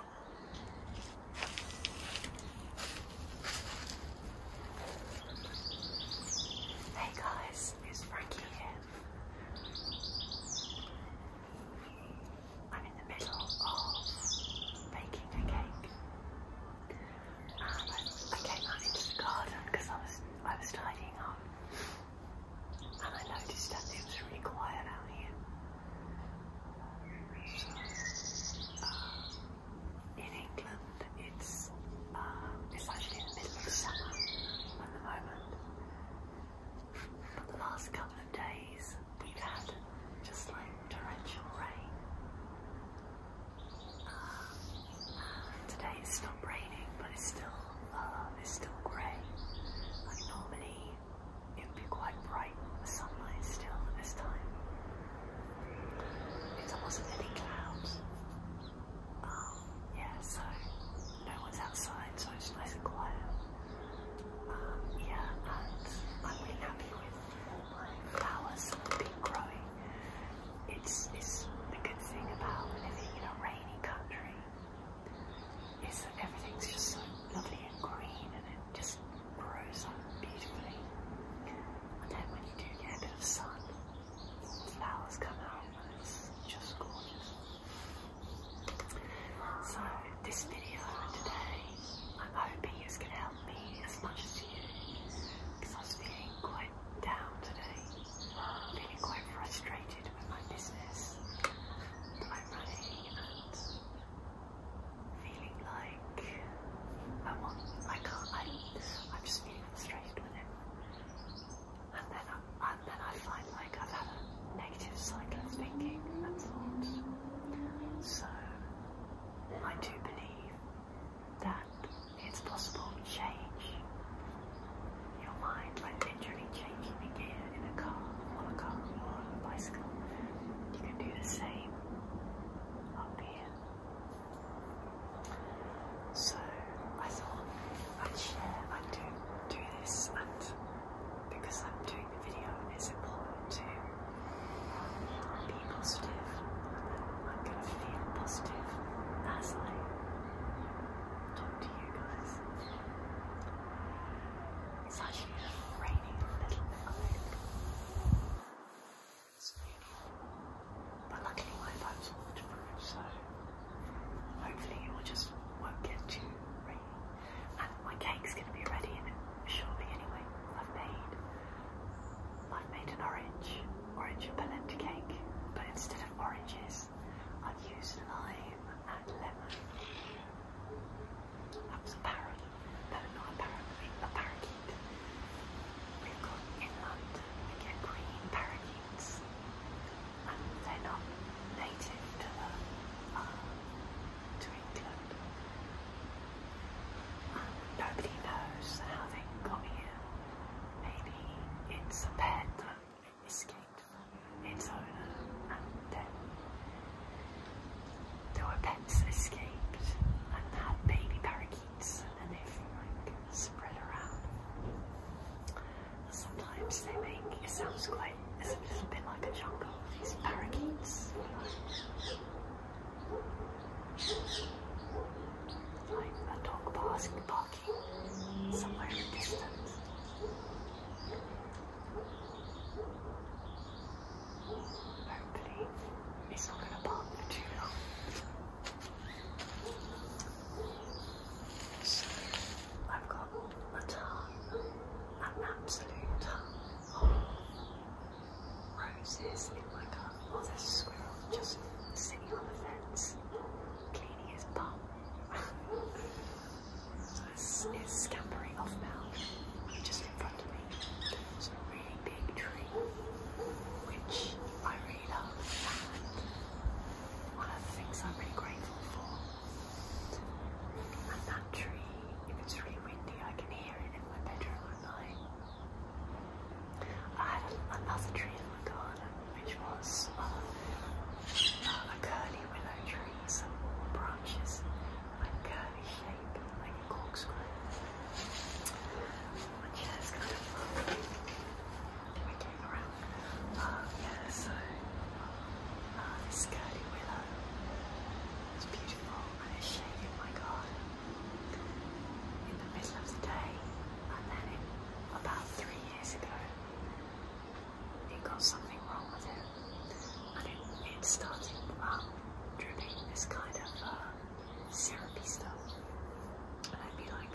Hey guys, it's Frankie here. I'm in the middle of baking a cake. I, I came out into the garden because I was I was tidying up and I noticed that it was really quiet out here in England, it's uh, it's actually in the middle of summer at the moment. But the last couple of days, we've had just like torrential rain. Uh, today it's stopped raining, but it's still uh, it's still grey. Like normally it'd be quite bright sunlight still this time. It's almost any clouds. Um, yeah, so no one's outside, so it's nice and quiet. Um, yeah, and I'm really happy with my flowers that growing. It's, it's the good thing about living in a rainy country is that everything's just so lovely and green and it just grows up beautifully. And then when you do get a bit of sun, flowers come out and it's just gorgeous. So this video today, I'm hoping it's going to help me as much as you because I was feeling quite down today, feeling quite frustrated with my business that I'm and feeling like I want, I can't, I, am just feeling frustrated with it. And then, I, and then I find like I've had a negative cycle of thinking and thoughts. So I do believe that it's possible to change your mind, by literally changing the gear in a car, on a car, or on a bicycle. You can do the same up here. So I thought I'd share, i do, do this, and because I'm doing the video, it's important to be positive. I'm going to feel positive as I talk to you guys. It's actually raining a little bit But luckily my pipe's waterproof, so hopefully it will just won't get too rainy. And my cake's gonna be ready in shortly anyway. I've made I've made an orange, orange and polenta cake, but instead of oranges, I've used lime and lemon. I was a parrot, no, a parakeet. We've got in we get green parakeets, and they're not native to uh, to England. nobody knows how they got here. Maybe it's a pet that escaped from its owner and then there were pets escaped and had baby parakeets and then they like spread around. Sometimes they make, it sounds quite, it's a little bit like a jungle, these parakeets. Like a dog barking, barking somewhere in the distance. Hopefully, it's not going to pop for too long. So, I've got a ton, an absolute ton of roses in my garden. Oh, there's a squirrel just sitting on the fence, cleaning his bum. It's scampering off now, just in front of me. It's a really big tree, which I really love. And one of the things I'm really grateful for. And that tree, if it's really windy, I can hear it in my bedroom at night. I had another tree in my garden, which was uh, a curly willow tree, with some the branches like curly shape, like a corkscrew. Which yeah, kind of fun. Wiggling around. Um, yeah, so uh, this curly willow is beautiful and it's shading my garden in the middle of the day. And then it, about three years ago, they got something wrong with it, and it, it started dripping this kind of uh, syrupy stuff. And I'd be like,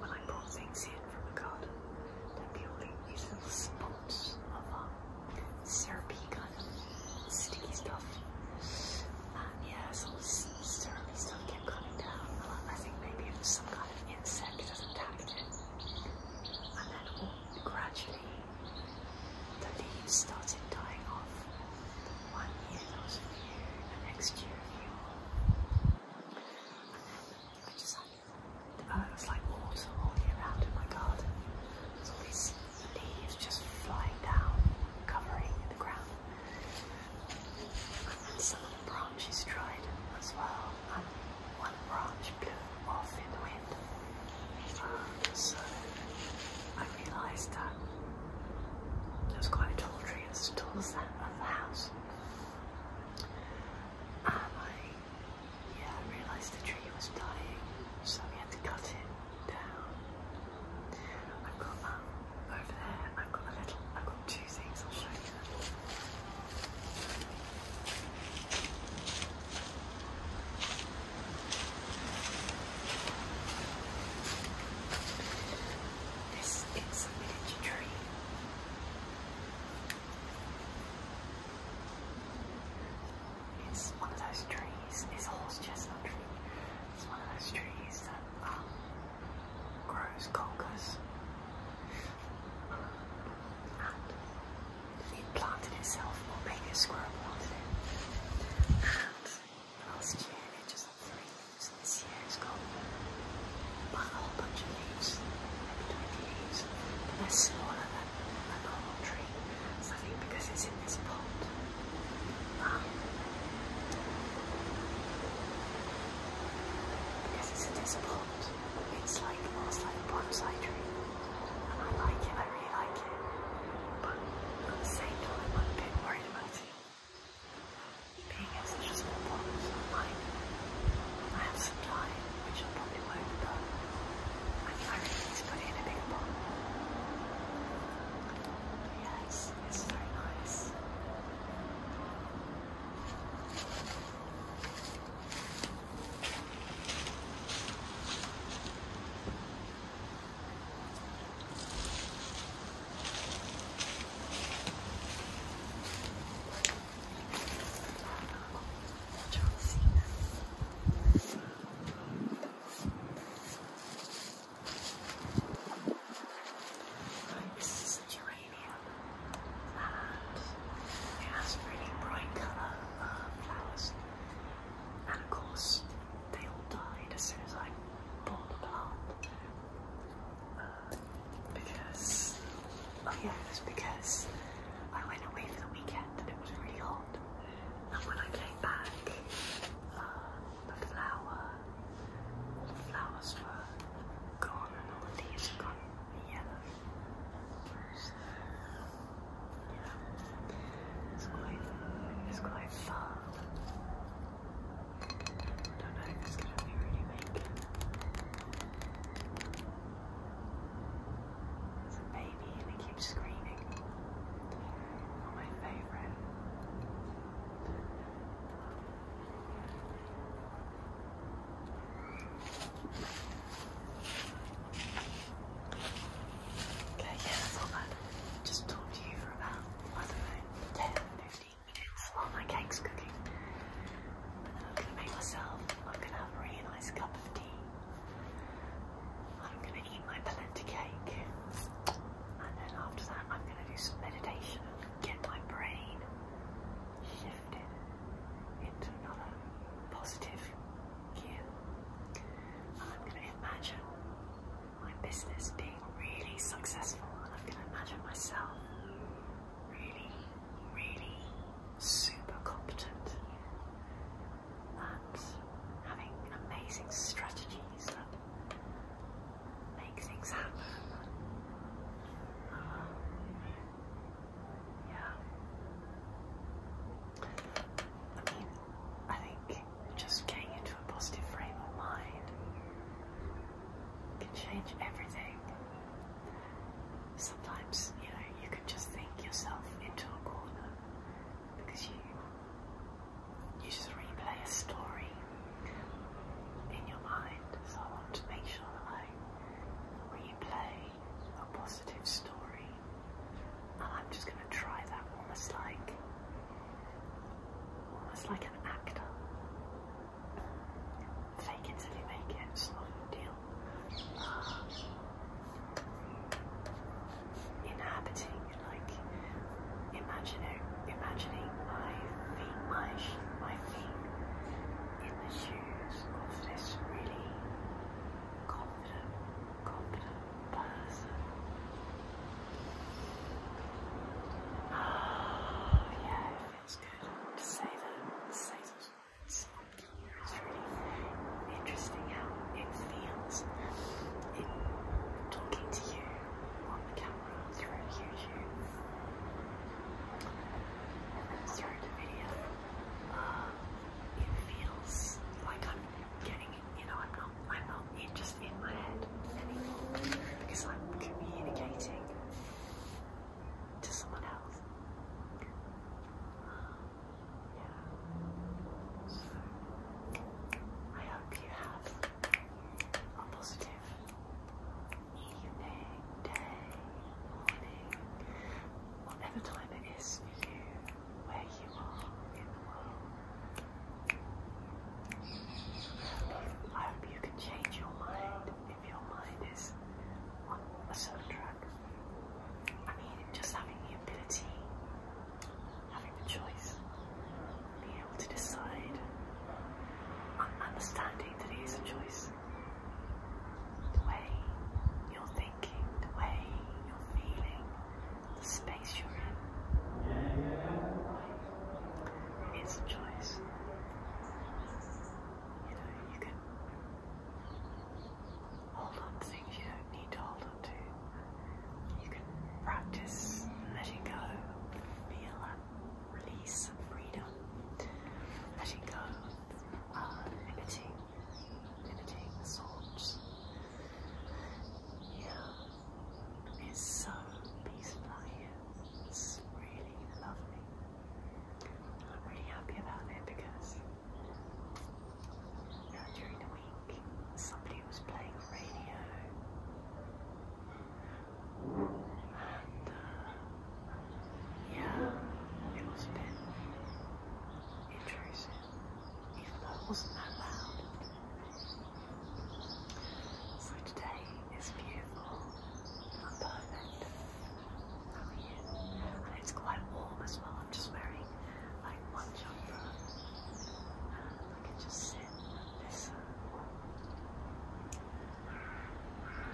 when I brought things in from the garden, there'd be all these little spots of uh, syrupy kind of sticky stuff. And yeah, so the syrupy stuff kept coming down. I think maybe it was some kind of insect that attacked it. And then all, oh, gradually, the leaves started dying off. One year there was a the next year a few I just had, uh, it like water all year round in my garden. There's all these leaves just flying down, covering the ground. And some of the branches dried as well one branch blew off in the wind. so I realised that it was quite a tall tree, as tall as that of house. And I, yeah, realised the tree was dying, so we had to cut it down. I've got um, over there. I've got a little. I've got two things. I'll show you. Them. This is a village tree. It's one of those trees, it's a horse chestnut tree. It's one of those trees that um, grows conkers. And it planted itself, or maybe a squirrel planted it. last year it just had three leaves, this year it's got a whole bunch of leaves, maybe 20 leaves, they're smaller than a normal tree. I think because it's in this pot, because it's in this pot, it's like almost like a bonsai tree. And I like it, I really like it. But at the same time I'm a bit worried about it. Being in such a small pond I have some time, which I probably won't but I mean I to put it in a big pond. But it's very nice. Right, this is a geranium, and it has really bright colour uh, flowers. And of course, they all died as soon as I bought the plant. Uh, because, oh yeah, because I went away for the weekend and it was really hot. And when I came back, uh, the flower, the flowers were gone and all the leaves had gone yellow. It's quite, it's quite far. I don't know it's going to be really big. It's a baby and it keeps screaming. my favourite. Okay, yeah, that's all bad. Just talk to you for about, I don't know, 10, minutes while my cake's cooking. I'm going to make myself, I'm going to have a really nice cup of tea. I'm going to eat my polenta cake. And then after that, I'm going to do some meditation and get my brain shifted into another positive I'm going to imagine my business being really successful, and I'm going to imagine myself really, really super competent and having amazing strategies that make things happen. Yeah. I mean, I think just getting into a positive frame of mind can change everything. Sometimes, you know, you can just think yourself into a corner because you you just replay a story in your mind. So I want to make sure that I replay a positive story, and I'm just going to try that almost like, almost like an actor. Fake it till you make it, it's deal. Uh, inhabiting, like imagining, imagining my feet, my my feet in the shoes of this really confident, confident person. Oh, yeah, feels good to say that, It's really interesting how it feels in talking to you on the camera through YouTube. through the video it feels like I'm getting, you know, I'm not, I'm not in, just in my head anymore because I'm communicating to someone else. Yeah. So I hope you have a positive evening, day, morning, whatever time it is for you, where you are in the world. I hope you can change your mind if your mind is on a certain track. I mean, just having the ability, having the choice, being able to decide, and understanding that it is a choice the way you're thinking, the way you're feeling, the space you're in. It's a choice. You know, you can hold on to things you don't need to hold on to. You can practice letting go, feel release and freedom, letting go of uh, limiting thoughts. Yeah, it's so peaceful here. It's really lovely. I'm really happy about it because during the week somebody was playing radio and uh, yeah, it was a intrusive, even though it wasn't that loud. So today is beautiful and perfect. How it's quite warm as well. I'm just wearing like one jumper I can just sit listen.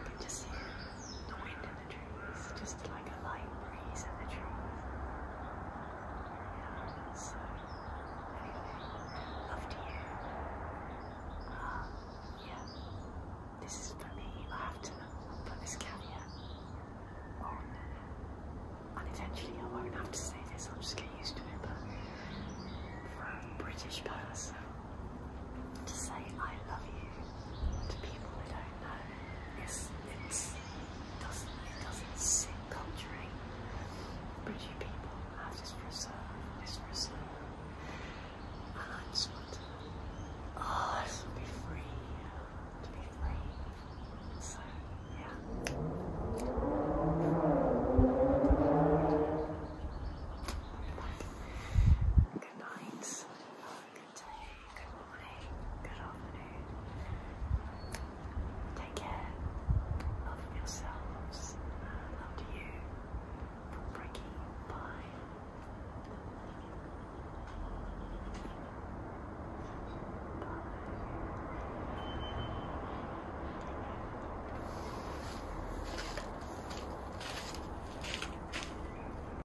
You can just hear the wind trees, just like a light breeze in the trees. Yeah, so anyway, love to you. Um, yeah, this is for me. I have to put this caveat and eventually I won't have to say this. I'll just get used to it. But for British person to say I love you to people that don't know. It's, it, doesn't, doesn't sit culturally. British people have this reserve, this reserve. And I oh, I just be free, to be free. So, yeah. Good night good morning, good afternoon. Take care. Love yourselves. Love you. From Bricky. Bye.